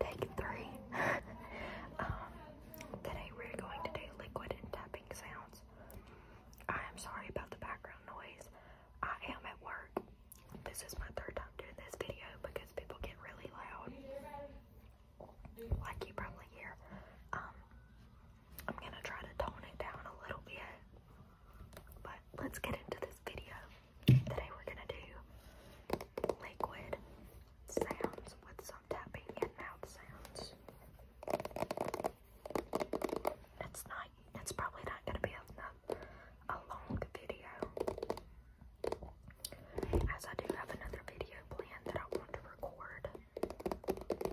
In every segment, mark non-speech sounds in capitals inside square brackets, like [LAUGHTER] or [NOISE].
Take three. [LAUGHS] Um, today we're going to do liquid and tapping sounds. I am sorry about the background noise. I am at work. This is my third time doing this video because people get really loud. Like you probably hear. Um, I'm gonna try to tone it down a little bit. But let's get into this video. Today we're gonna do liquid sounds with some tapping and mouth sounds. It's not. It's probably not gonna be a, a long video, as I do have another video planned that I want to record.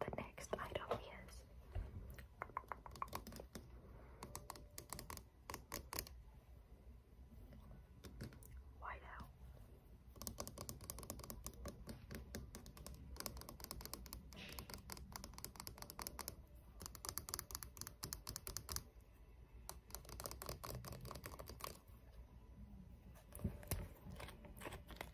The next item is white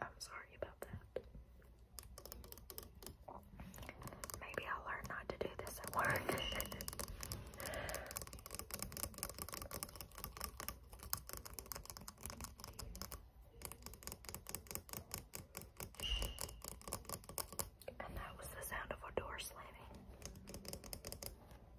I'm sorry about that. Maybe I'll learn not to do this at work. and that was the sound of a door slamming.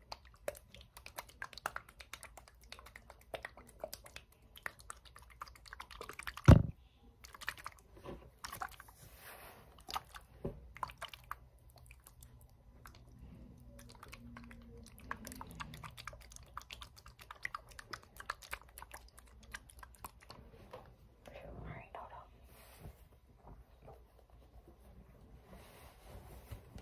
All right, hold on.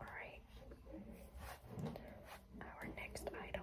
Alright. Our next item.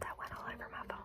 That went all over my phone.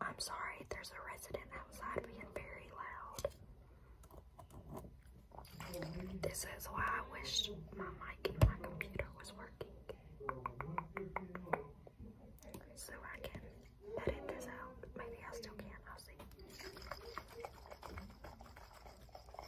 I'm sorry, there's a resident outside being very loud. This is why I wish my mic and my computer was working. So I can edit this out. Maybe I still can, I'll see.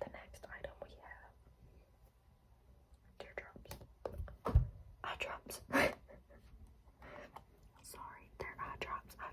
The next item we have teardrops. Eye [LAUGHS] Sorry, they're eye drops, eye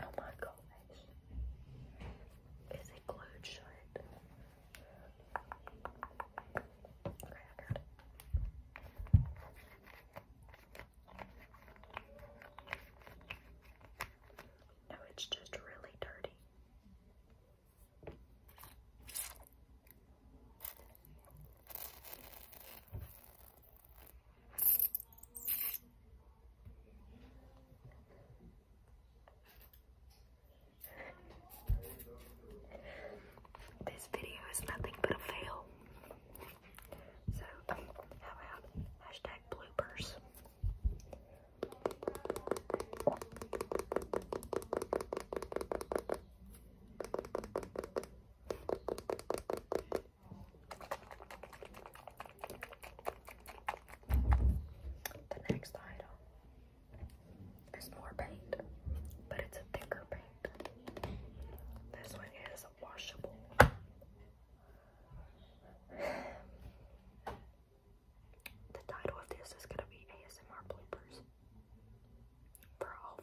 Oh my gosh. Is it glued shut? No, it's just really dirty. This video is nothing but a fail. So, how about bloopers? The next item is more paint, but it's a thicker paint. This one is washable. [SIGHS] The title of this is gonna be ASMR bloopers for a whole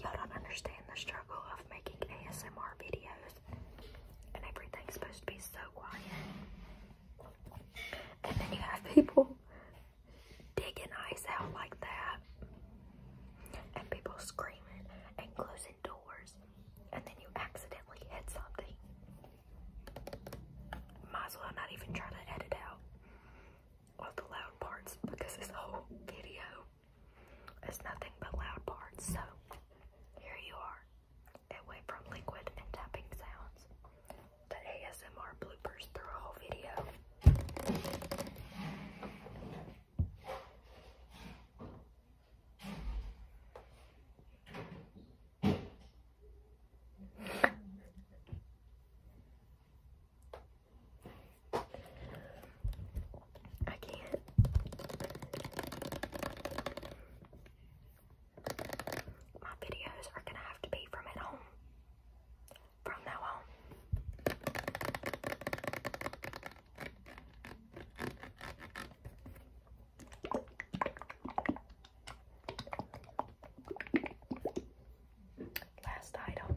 Y'all don't understand the struggle of making ASMR videos and everything's supposed to be so quiet. And then you have people digging ice out like that, and people screaming and closing doors, and then you accidentally hit something. Might as well not even try to edit out all the loud parts because this whole video is nothing but loud parts. So here you are away from liquid and tapping sounds to ASMR bloopers through a whole video. I can't. My videos are gonna have to be from at home from now on. Last item.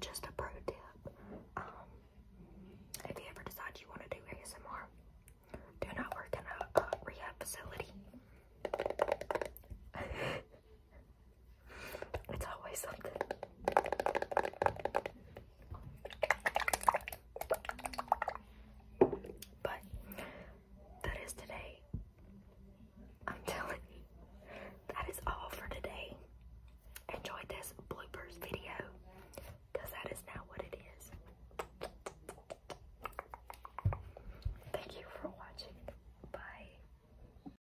Just a pro tip. Um, if you ever decide you want to do ASMR, do not work in a uh, rehab facility. [LAUGHS] It's always something. But that is today. I'm telling you, that is all for today. Enjoy this bloopers video that is now what it is. Thank you for watching. Bye.